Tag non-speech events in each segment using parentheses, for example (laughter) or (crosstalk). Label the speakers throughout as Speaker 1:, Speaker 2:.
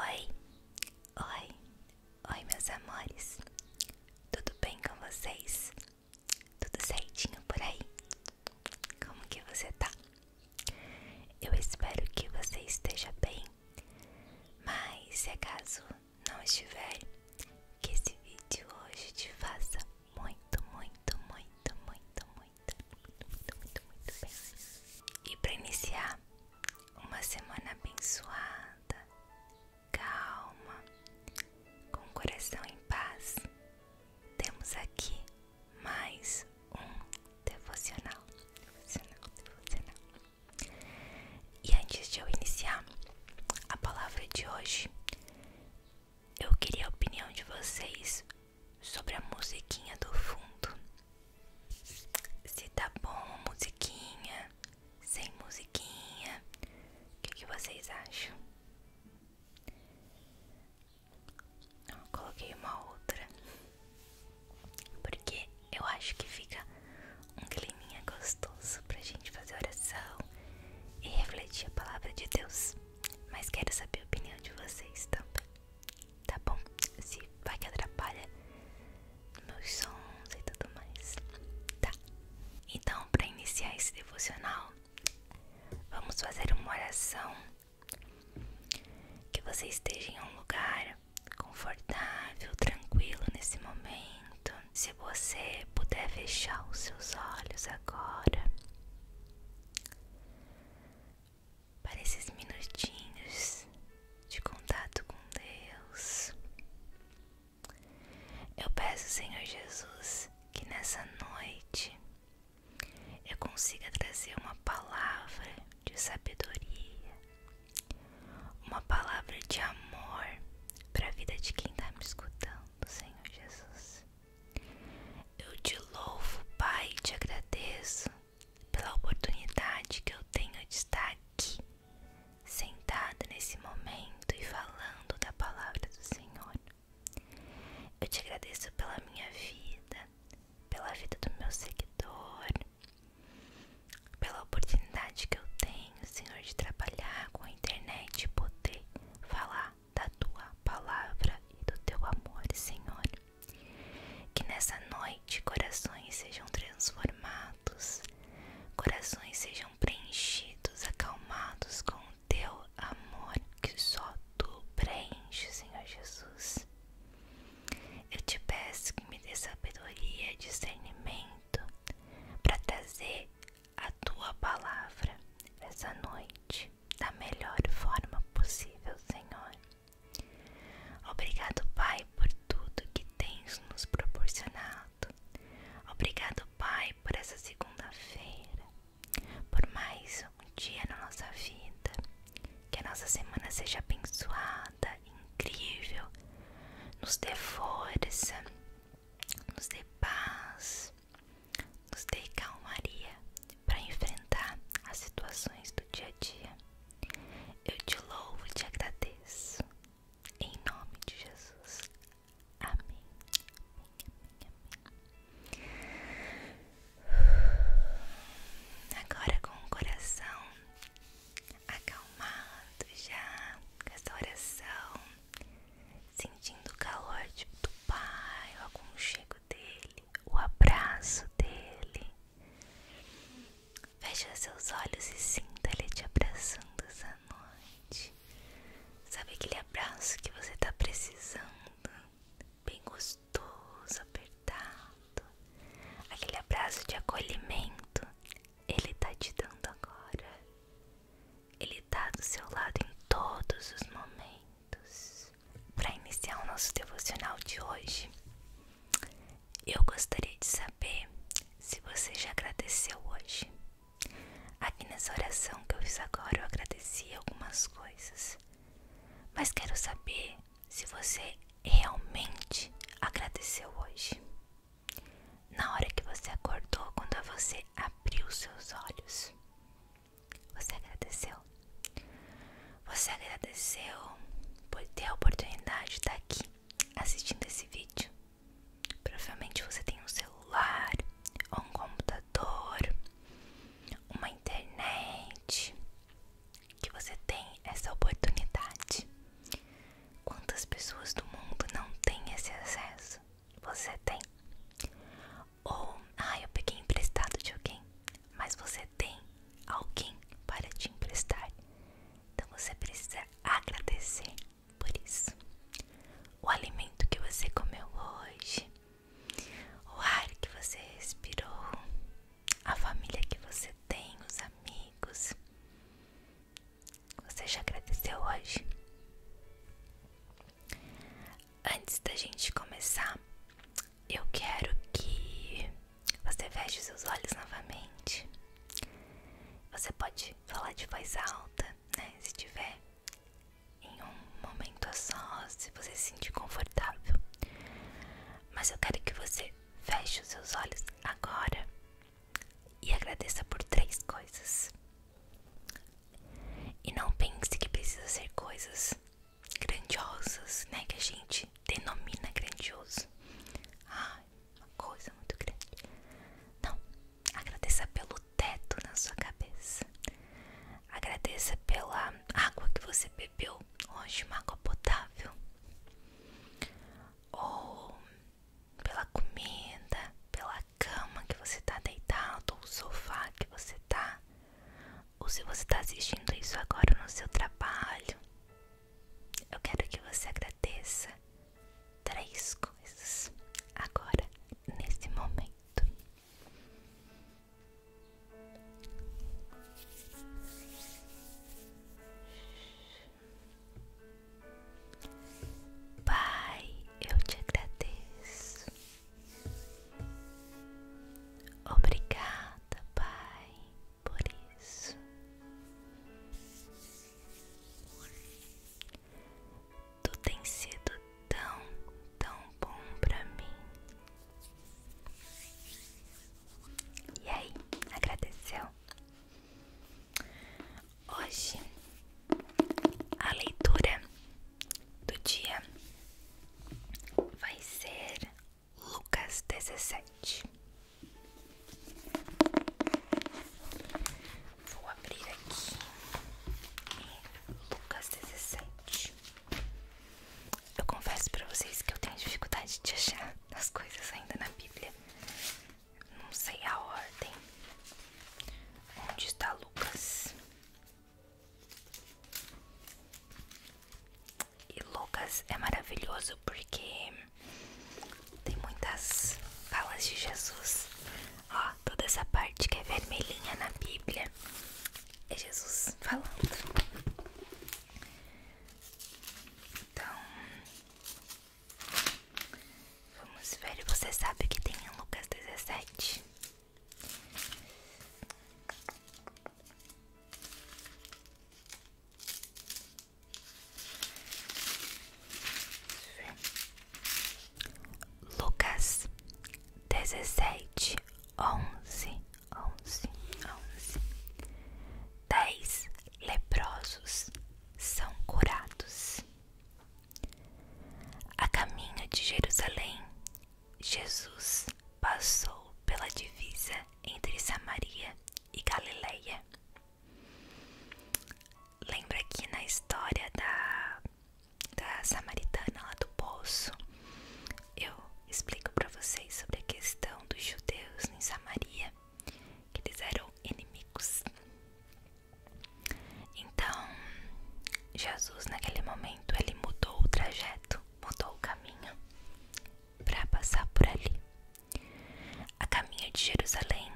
Speaker 1: Oi, oi, oi, meus amores. Tudo bem com vocês? Tudo certinho por aí? Como que você tá? Eu espero que você esteja bem. Mas se acaso não estiver, que esse vídeo hoje te faça muito, muito, muito, muito, muito, muito, muito, muito, muito bem. E para iniciar, uma semana abençoada, calma, com o coração em paz. Temos aqui mais um devocional, E antes de eu iniciar a palavra de hoje, eu queria a opinião de vocês sobre a musiquinha do fundo. Se tá bom musiquinha, sem musiquinha, o que, vocês acham? coloquei uma outra, porque eu acho que fica um climinha gostoso pra gente fazer oração e refletir a palavra de Deus. Mas quero saber a opinião de vocês também tá bom? Se vai que atrapalha meus sons e tudo mais, tá? Então, para iniciar esse devocional, vamos fazer uma oração. Que você esteja em um lugar confortável, tranquilo nesse momento. Se você puder fechar os seus olhos agora para esses minutinhos de contato com Deus. Eu peço, Senhor Jesus, que nessa noite eu consiga trazer uma palavra de sabedoria, uma palavra de amor para a vida de quem está me escutando, Senhor Jesus. Eu te louvo, Pai, e te agradeço pela oportunidade que eu tenho de estar aqui, sentada nesse momento e falando da palavra do Senhor. Eu te agradeço pela minha vida, pela vida do meu seguidor, pela oportunidade que eu tenho, Senhor, de trabalhar com a internet e poder falar da tua palavra e do teu amor, Senhor. Que nessa noite corações sejam transformados, corações sejam preenchidos, acalmados com o teu amor que só tu preenche, Senhor Jesus. Eu te peço que me dê sabedoria, discernimento para trazer a tua palavra essa noite da melhor forma possível, Senhor. Obrigado, Pai, por tudo que tens nos proporcionado. Obrigado, Pai, por essa segunda-feira, por mais um dia na nossa vida. Que a nossa semana seja abençoada, incrível, nos dê força, nos dê paz, nos dê calmaria para enfrentar as situações do dia a dia. Eu te louvo e te agradeço. Em nome de Jesus. Amém. Agora com o coração acalmado já, com essa oração, sentindo o calor tipo, do Pai, o aconchego dele o abraço dele. Feche seus olhos e sinta ele te abraçando essa noite. Sabe aquele abraço que você está precisando? Bem gostoso, apertado. Aquele abraço de acolhimento. Ele está te dando agora. Ele está do seu lado em todos os momentos para iniciar o nosso devocional de hoje, eu gostaria de saber se você já agradeceu hoje. Aqui nessa oração que eu fiz agora, eu agradeci algumas coisas, mas quero saber se você realmente agradeceu hoje. Na hora que você acordou, quando você abriu seus olhos, você agradeceu? Você agradeceu por ter a oportunidade de estar aqui assistindo esse vídeo? Provavelmente você tem um celular, ou um computador, uma internet, que você tem essa oportunidade. Quantas pessoas do mundo não têm esse acesso? Você tem. Ou, ah, eu peguei emprestado de alguém. Mas você tem alguém para te emprestar. Então você precisa agradecer por isso. O alimento que você comeu hoje, o ar que você respirou, a família que você tem, os amigos. Você já agradeceu hoje? antes da gente começar, eu quero que você feche os seus olhos novamente. Você pode falar de voz alta, né? Se tiver em um momento a sós, se você se sentir confortável. Mas eu quero que você feche os seus olhos agora e agradeça por três coisas. E não pense que precisa ser coisas grandiosas, né? Que a gente denomina grandioso. Ai, uma coisa muito grande. Não, agradeça pelo teto na sua cabeça. Agradeça pela água que você bebeu hoje, uma água potável. Ou pela comida, pela cama que você tá deitado, ou sofá que você tá. Ou se você está assistindo isso agora no seu trabalho, eu quero que você agradeça três coisas agora, nesse momento. Pai, eu te agradeço Obrigada, Pai, por isso. Tu tens sido tão, tão bom pra mim. E aí, agradeceu? Hoje a leitura do dia vai ser Lucas 17. Vou abrir aqui e Lucas 17. Eu confesso para vocês que eu tenho dificuldade de achar as coisas ainda na Bíblia. Não sei a ordem. Onde está Lucas? E Lucas é maravilhoso porque tem muitas falas de Jesus. Ó, toda essa parte que é vermelhinha na Bíblia é Jesus falando. Então, vamos ver. Você sabe que tem em Lucas 17? Lucas dezessete, onze, onze, onze. Dez leprosos são curados. A caminho de Jerusalém Jesus passou pela divisa entre Samaria e Galileia. Lembra que na história da, da samaritana lá do poço, eu explico para vocês sobre a questão dos judeus em Samaria, que eles eram inimigos. Então, Jesus, naquele momento, ele mudou o trajeto, mudou o caminho para passar por ali. A caminho de Jerusalém,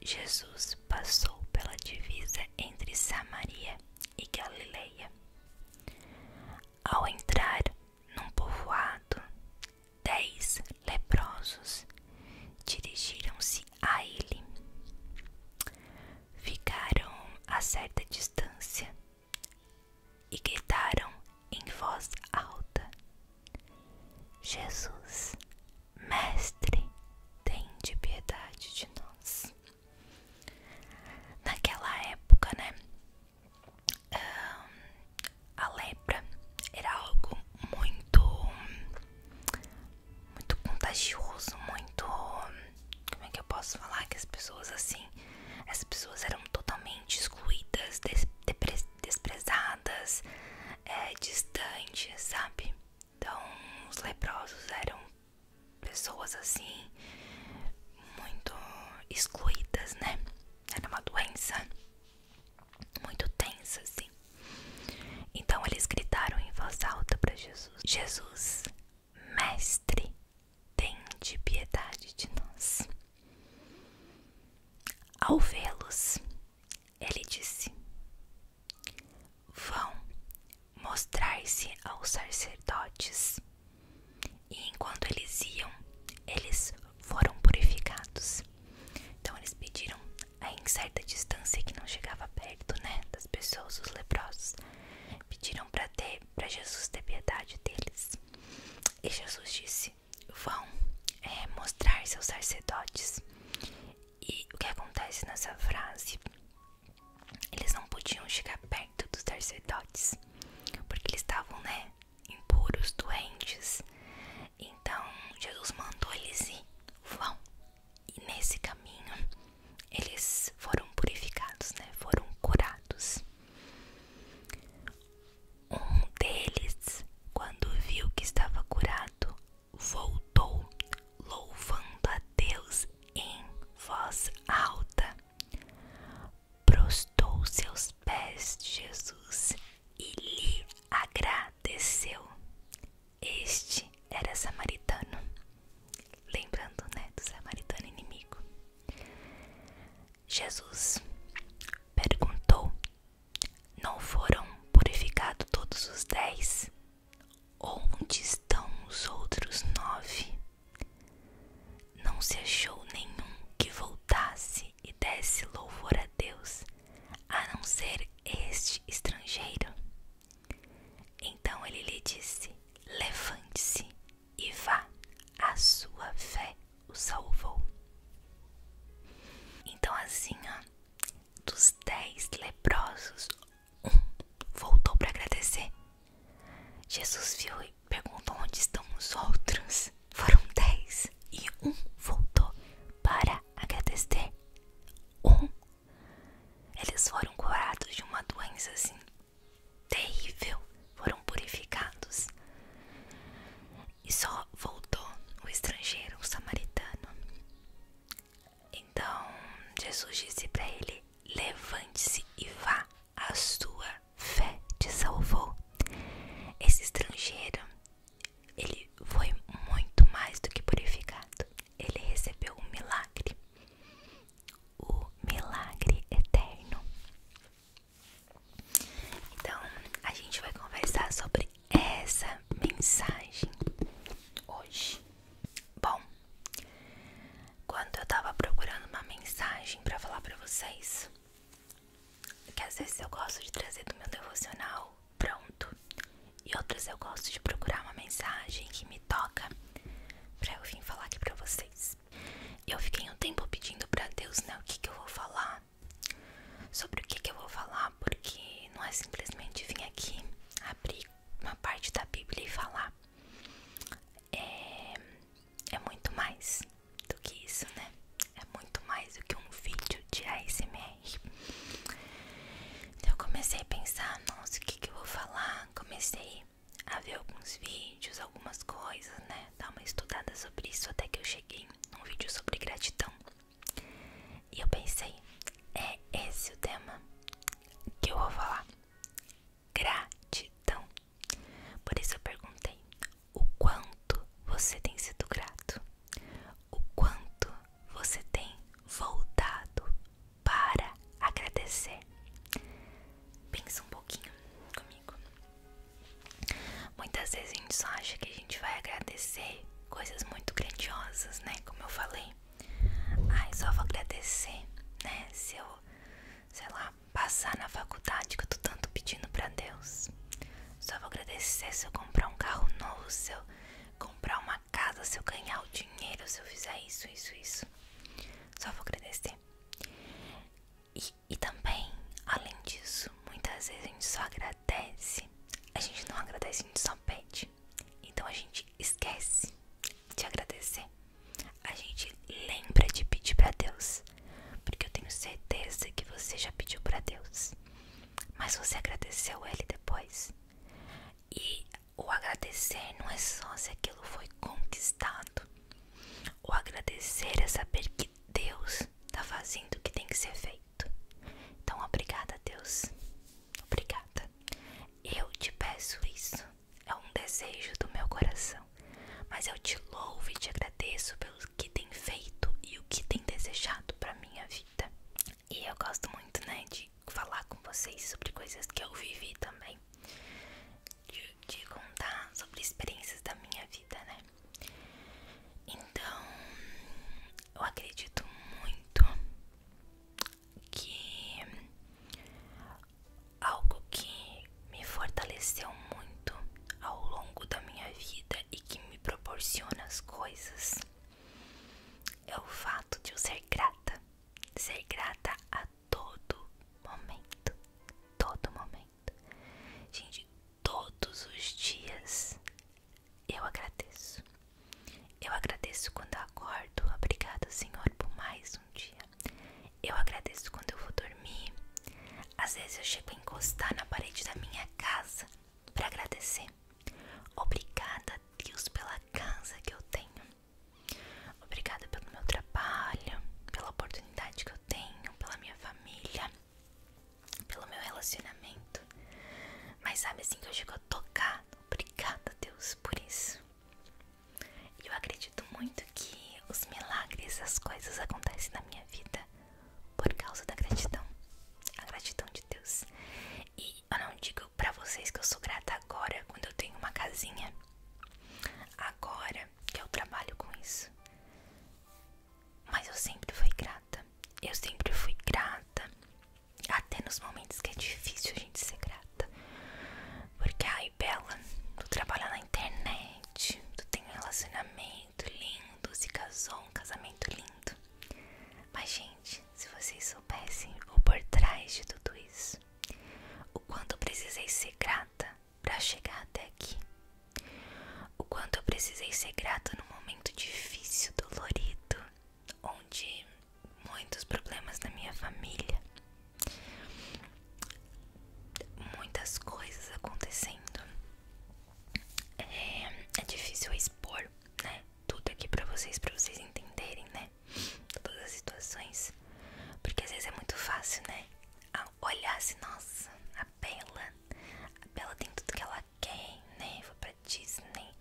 Speaker 1: Jesus passou pela divisa entre Samaria e Galileia. Ao entrar num povoado, dez leprosos dirigiram-se a ele ficaram a certa distância e gritaram em voz alta: Jesus, Mestre, tem piedade de nós. Naquela época, né? a lepra era algo muito, muito contagioso, muito como é que eu posso falar que as pessoas assim, as pessoas eram totalmente excluídas, desprezadas, é, distantes, sabe? Então, os leprosos eram pessoas assim, muito excluídas, né? Era uma doença muito tensa, assim. Então, eles gritaram em voz alta para Jesus: Jesus, Mestre, tende piedade de nós. Ao vê-los, ele disse: Vão mostrar-se aos sacerdotes. E enquanto eles iam, eles foram purificados. Então eles pediram a em certa distância que não chegava perto, né, das pessoas, os leprosos pediram para ter para Jesus ter piedade deles. E Jesus disse: Vão é, mostrar seus sacerdotes. E o que acontece nessa frase? Eles não podiam chegar perto dos sacerdotes, porque eles estavam, né, impuros, doentes. Então Jesus mandou eles ir, vão, e nesse caminho eles foram purificados, né? Foram curados. Um deles, quando viu que estava curado, voltou louvando a Deus em voz alta. Prostou seus pés Jesus e lhe agradeceu. Este era samaritano lembrando né, do samaritano inimigo. Jesus perguntou: Não foram purificados todos os dez? Onde estão os outros nove? Não se achou nenhum que voltasse e desse louvor a Deus, a não ser este estrangeiro. Então ele lhe disse: Levante-se e vá, a sua fé o salvou. Então, assim, dos dez leprosos, um voltou para agradecer. Jesus viu e perguntou: Onde estão os outros? Foram dez e um voltou para agradecer. Um eles foram curados de uma doença assim terrível, foram purificados. E só voltou o estrangeiro, o samaritano. Então Jesus disse para ele: Levante-se e vá, a sua fé te salvou. Esse estrangeiro, ele foi muito mais do que purificado, ele recebeu um milagre o milagre eterno. Então, a gente vai conversar sobre essa mensagem hoje. Bom, quando eu tava procurando uma mensagem para falar para vocês, que às vezes eu gosto de trazer do meu devocional pronto, e outras eu gosto de procurar uma mensagem que me toca pra eu vir falar aqui pra vocês. Eu fiquei um tempo pedindo pra Deus, né, o que, que eu vou falar. Sobre o que, que eu vou falar, porque não é simplesmente vir aqui abrir uma parte da Bíblia e falar. É, é muito mais do que isso, né? É muito mais do que um vídeo de ASMR. Então eu comecei a pensar, nossa, o que, que eu vou falar? Comecei a ver alguns vídeos, algumas coisas, né? Dar uma estudada sobre isso até que eu cheguei num vídeo sobre gratidão. E eu pensei, é esse o tema que eu vou falar. Gratidão. Por isso eu perguntei, o quanto você tem sido grato? O quanto você tem voltado para agradecer. Pensa um pouquinho comigo. Muitas vezes a gente só acha que a gente vai agradecer coisas muito grandiosas, né? Como eu falei. Ai, só vou agradecer, né? Se eu, sei lá, passar na faculdade que eu tô tanto pedindo pra Deus. Só vou agradecer se eu comprar um carro novo, se eu comprar uma casa se eu ganhar o dinheiro, se eu fizer isso, isso, isso. Só vou agradecer. E, e também, além disso, muitas vezes a gente só agradece. A gente não agradece, a gente só pede. Então a gente esquece de agradecer. A gente lembra de pedir para Deus. Porque eu tenho certeza que você já pediu para Deus. Mas você agradeceu ele depois. E o agradecer não é só se aquilo foi conquistado. O agradecer é saber que Deus está fazendo o que tem que ser feito. Então, obrigada, Deus. Obrigada. Eu te peço isso. É um desejo do meu coração. Mas eu te louvo e te agradeço pelo que tem feito e o que tem desejado para minha vida. E eu gosto muito, né, de falar com vocês sobre coisas que eu vivi também. De, contar sobre experiências da minha vida, né? Então, eu acredito muito que algo que me fortaleceu muito ao longo da minha vida e que me proporciona as coisas é o fato de eu ser grata ser grata a todo momento. Todo momento. Gente, todos os dias eu agradeço. Eu agradeço quando eu acordo. Obrigado, Senhor, por mais um dia. Eu agradeço quando eu vou dormir. Às vezes eu chego a encostar na parede da minha casa para agradecer você. Obrigada, Deus, pela casa que eu tenho. Obrigada pelo meu trabalho, pela oportunidade que eu tenho, pela minha família, pelo meu relacionamento. Mas sabe assim que eu chego a tocar. Obrigada, Deus, por isso. Eu acredito muito que os milagres, as coisas acontecem na minha vida por causa da gratidão. A gratidão de Deus eu não digo pra vocês que eu sou grata agora, quando eu tenho uma casinha, agora que eu trabalho com isso. Mas eu sempre fui grata. Eu sempre fui grata. Até nos momentos que é difícil a gente ser grata. Porque, ai, Bela, tu trabalha na internet, tu tem um relacionamento lindo, se casou, um casamento lindo. Mas, gente, se vocês soubessem o por trás de tudo isso, o quanto precisei ser grata para chegar até aqui, o quanto eu precisei ser grata num momento difícil, dolorido, onde muitos problemas na minha família, muitas coisas acontecendo. é, é difícil expor né, tudo aqui pra vocês, pra vocês entenderem, né? Todas as situações. Porque às vezes é muito fácil, né? olhar se assim, nossa, a Bela. A Bela tem tudo que ela quer, né? Vou pra Disney,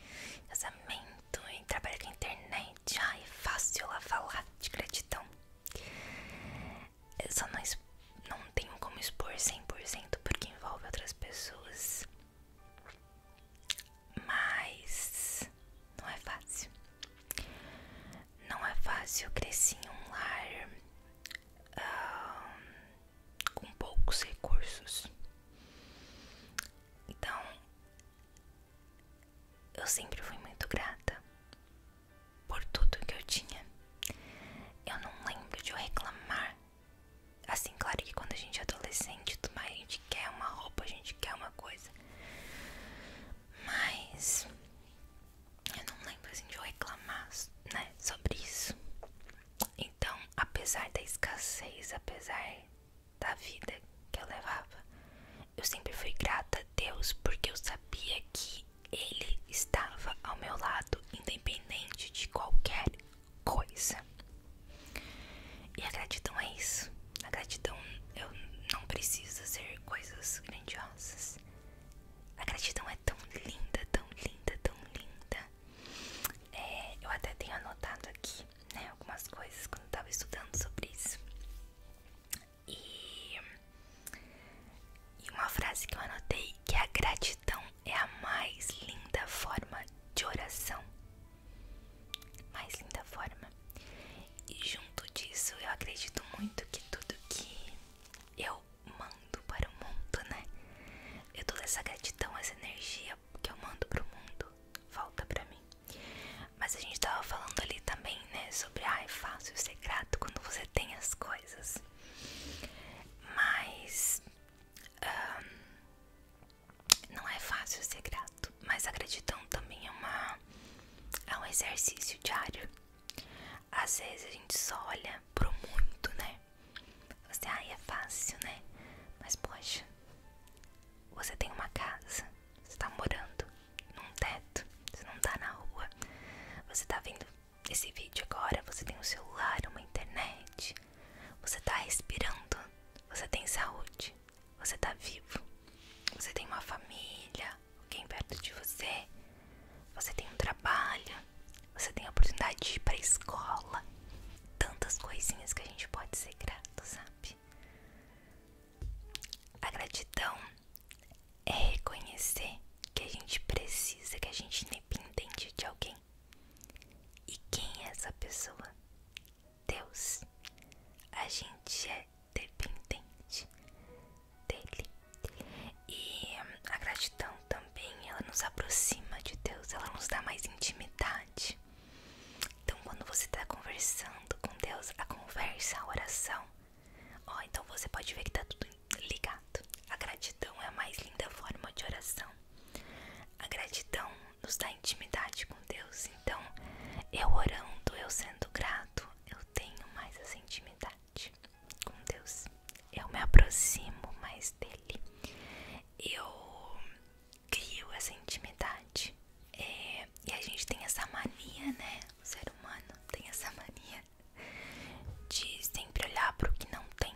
Speaker 1: casamento, e trabalha com a internet. Ai, é fácil ela falar de gratidão. Eu só não, não tenho como expor 100% porque envolve outras pessoas. Mas não é fácil. Não é fácil. Eu cresci em um lar com poucos recursos. Então, eu sempre fui muito grata por tudo que eu tinha. Eu não lembro de eu reclamar Assim, claro que quando a gente é adolescente, tudo mais, a gente quer uma roupa, a gente quer uma coisa. Mas eu não lembro assim de eu reclamar, né, sobre isso. Então, apesar da escassez, apesar da vida que eu levava, eu sempre fui grata a Deus porque eu sabia que Ele estava ao meu lado, independente de qualquer coisa. E a gratidão é isso. A gratidão eu não precisa ser coisas grandiosas. A gratidão é tão linda, tão linda, tão linda. É, eu até tenho anotado aqui, né, algumas coisas quando eu tava estudando sobre isso. E, e uma frase que eu anotei que é a gratidão é a mais linda forma de oração. Mais linda forma. E junto disso, eu acredito muito que tudo que eu mando para o mundo, né? Eu toda essa gratidão, essa energia que eu mando para o mundo, volta para mim. Mas a gente tava falando ali também, né, sobre ah, é fácil ser grato quando você tem as coisas. Mas um, não é fácil ser grato, mas a gratidão também é, uma, é um exercício diário. Às vezes a gente só olha pro muito, né? Você, assim, ai, é fácil, né? Mas poxa, você tem uma casa, você tá morando num teto, você não tá na rua, você tá vendo esse vídeo agora, você tem um celular, uma internet, você tá respirando. Você tem saúde. Você tá vivo. Você tem uma família, alguém perto de você. Você tem um trabalho. Você tem a oportunidade de ir pra escola. Tantas coisinhas que a gente pode ser grato, sabe? A gratidão é reconhecer que a gente precisa, que a gente depende de alguém e quem é essa pessoa? Deus. A gente é dependente dele. E a gratidão também, ela nos aproxima de Deus, ela nos dá mais intimidade. Então, quando você está conversando com Deus, a conversa, a oração, ó, então você pode ver que tá tudo ligado. A gratidão é a mais linda forma de oração. A gratidão nos dá intimidade com Deus. Então, eu orando, eu sendo grato, eu tenho mais essa intimidade com Deus. Eu me aproximo mais dele. Eu crio essa intimidade. É, e a gente tem essa mania, né? O ser humano tem essa (laughs) mania de sempre olhar para o que não tem.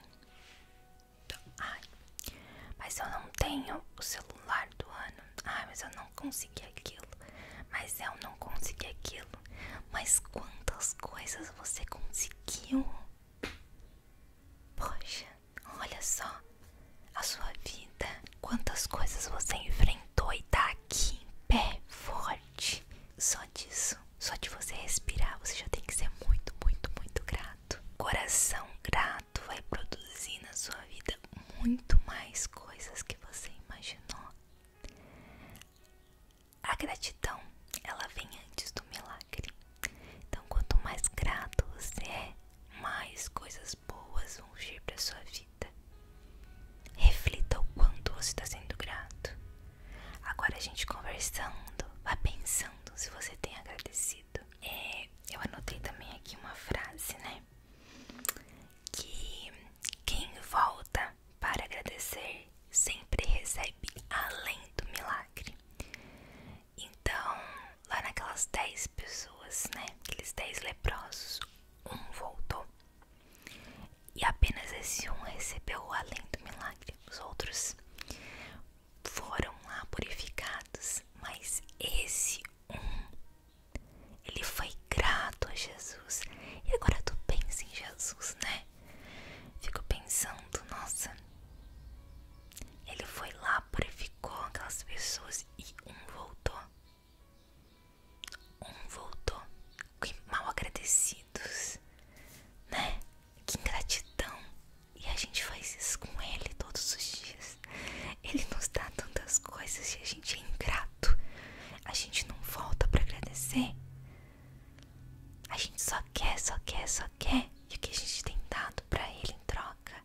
Speaker 1: Ai, mas eu não tenho o celular do ano. Ai, mas eu não consegui aquilo. Mas eu não consegui aquilo. Mas quantas coisas você conseguiu? Poxa, olha só a sua vida. Quantas coisas você enfrentou e tá aqui em pé, forte. Só disso, só de você respirar, você já tem que ser muito, muito, muito grato. Coração grato vai produzir na sua vida muito mais coisas que você imaginou. A gratidão, ela vem antes do milagre. Então, quanto mais grato você é, mais coisas boas vão vir para sua vida. Reflita o quanto você está sendo grato. Agora a gente conversando, vá pensando se você tem agradecido é, eu anotei também aqui uma frase, né? Que quem volta para agradecer sempre recebe além do milagre. Então, lá naquelas dez pessoas, né? Aqueles dez leprosos, um voltou. E apenas esse um recebeu o além do milagre. Os outros foram lá purificados, mas esse um, ele foi grato a Jesus. E agora tu pensa em Jesus, né? Fico pensando, nossa, ele foi lá, purificou aquelas pessoas e um voltou. Um voltou. Que mal agradecidos, né? Que ingratidão. E a gente faz isso com ele todos os dias. Ele nos dá tantas coisas e a gente é ingrato. A gente não volta para agradecer. A gente só quer, só quer, só quer. E o que a gente tem dado para ele em troca?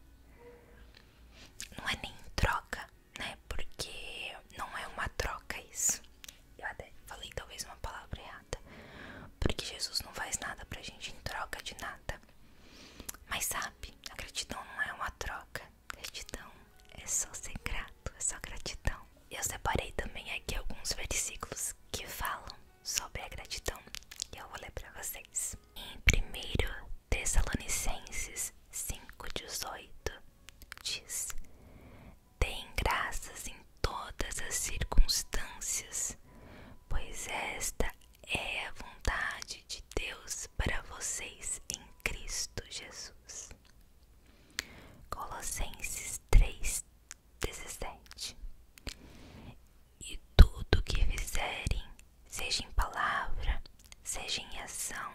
Speaker 1: Não é nem troca, né? Porque não é uma troca isso. Eu até falei talvez uma palavra errada porque Jesus não faz nada pra gente em troca de nada. Mas sabe, a gratidão não é uma troca, gratidão é só ser grato, é só gratidão. Eu separei também aqui alguns versículos que falam sobre a gratidão e eu vou ler pra vocês. Em 1 Tessalonicenses 5,18 diz: Deem graças em todas as circunstâncias, pois esta é a vontade de Deus para vocês em Cristo Jesus. Colossenses 3:17 E tudo que fizerem, seja em palavra, seja em ação,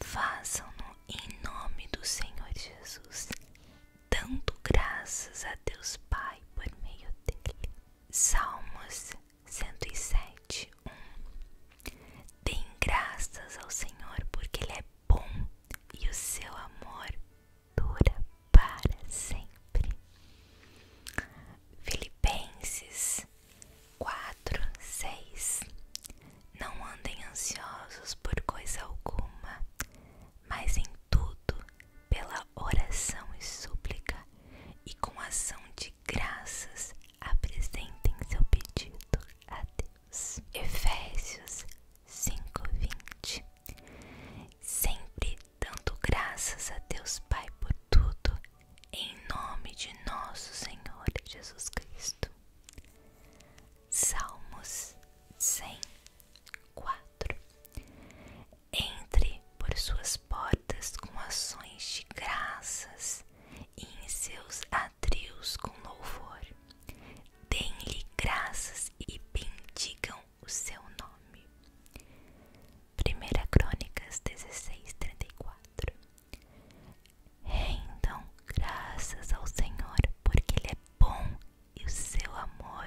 Speaker 1: façam-no em nome do Senhor Jesus, dando graças a Deus Pai por meio dele. Salmos 107, 1 Dêem graças ao Senhor, porque Ele é bom e o seu amor dura para sempre. Filipenses 4, 6 Não andem ansiosos por coisa alguma, mas em tudo pela oração e súplica, e com ação de graças apresentem seu pedido a Deus. Efésios 5:20 Sempre dando graças a Deus Pai por tudo, em nome de nosso Senhor Jesus Cristo. Salmos 104 entre por suas portas com ações de graças e em seus atrios com louvor. dêem lhe graças e bendigam o seu nome. 1 Crônicas 16, 34 Rendam graças ao Senhor, porque Ele é bom e o seu amor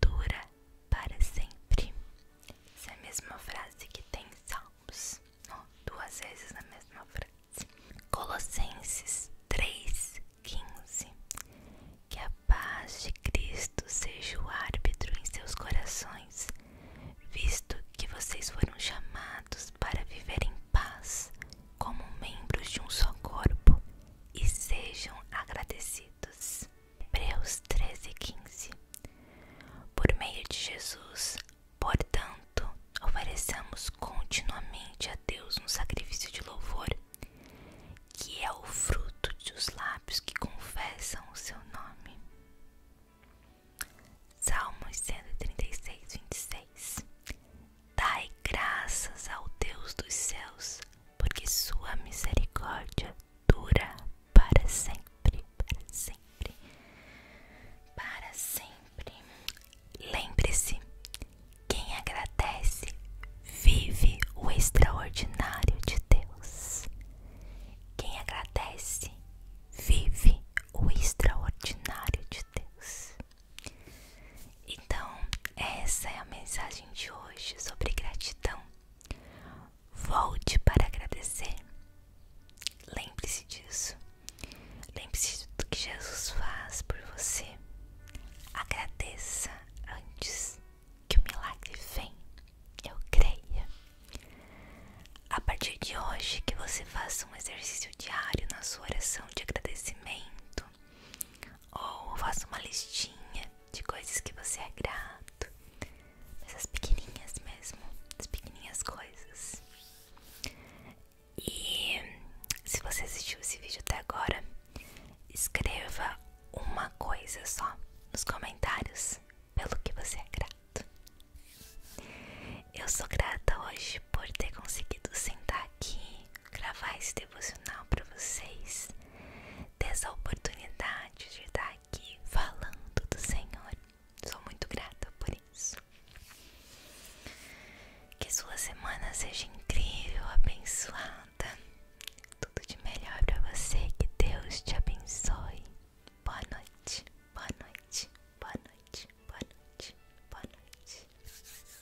Speaker 1: dura para sempre. Essa é a mesma frase que tem em Salmos, duas vezes na mesma frase. Colossenses 3,15 Que a paz de Cristo seja o árbitro em seus corações, visto que vocês foram chamados para viver em paz como membros de um só corpo e sejam agradecidos. Hebreus 13, 15 Por meio de Jesus, portanto, oferecemos continuamente a Deus um sacrifício de louvor, que é o fruto dos lábios que confessam o seu nome. Salmos 136, 26 Dai graças ao Deus dos céus, porque sua misericórdia dura para sempre, para sempre, para sempre. Lembre-se, quem agradece vive o extraordinário de Deus. Quem agradece vive o extraordinário de Deus. Então, essa é a mensagem de hoje sobre gratidão. Volte para agradecer. Lembre-se disso. Lembre-se do que Jesus faz por você. Agradeça antes que o milagre vem. Eu creio. A partir de hoje, que você faça um exercício diário na sua oração de agradecimento ou faça uma listinha de coisas que você é grato. Essas pequenininhas mesmo, as pequenininhas coisas. E se você assistiu esse vídeo até agora, escreva uma coisa só nos comentários pelo que você é grato. Eu sou grata hoje por ter conseguido sentar aqui, gravar esse devocional para vocês, dessa oportunidade de estar aqui falando do Senhor. Sou muito grata por isso. Que sua semana seja incrível, abençoada. Tudo de melhor para você. Que Deus te abençoe. Boa noite, boa noite, boa noite, boa noite, boa noite.